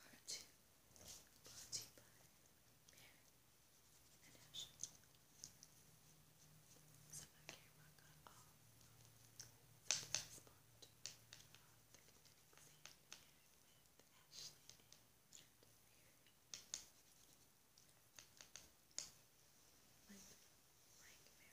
Part two, brought to you by Mary and Ashley. So my camera got off for the last part of the scene with Ashley and Mary. Like, like Mary, Mary,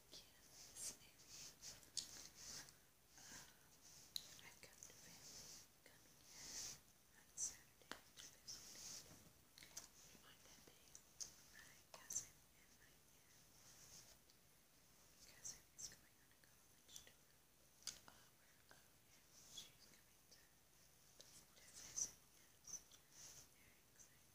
I've come to family coming on Saturday to visit on that day, my cousin and my aunt. Cousin is going on a college tour. Oh, uh, and she's coming to, to visit us. They're excited.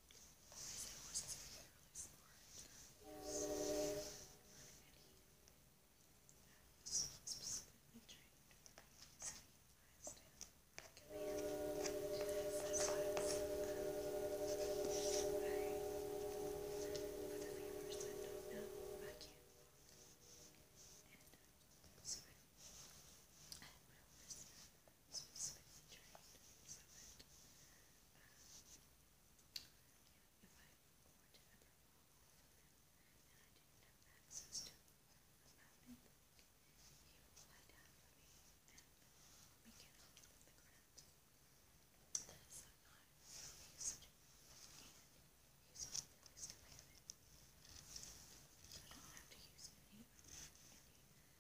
But I said horses are fairly smart. Yes, they are. I was specifically trained for easy command. This was um, I, for the viewers that don't know, I can't walk. And so I, I had my horse. I so it's if I were to ever fall off of and I didn't have access to a mapping he would lie down for me and let me get off of the ground. That is so nice. He's such a he's all really still have it.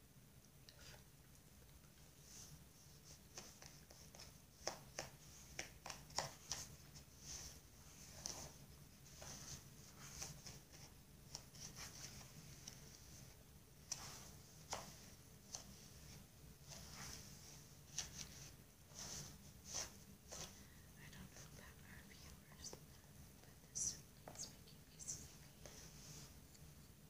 I don't know about our viewers, but this is making me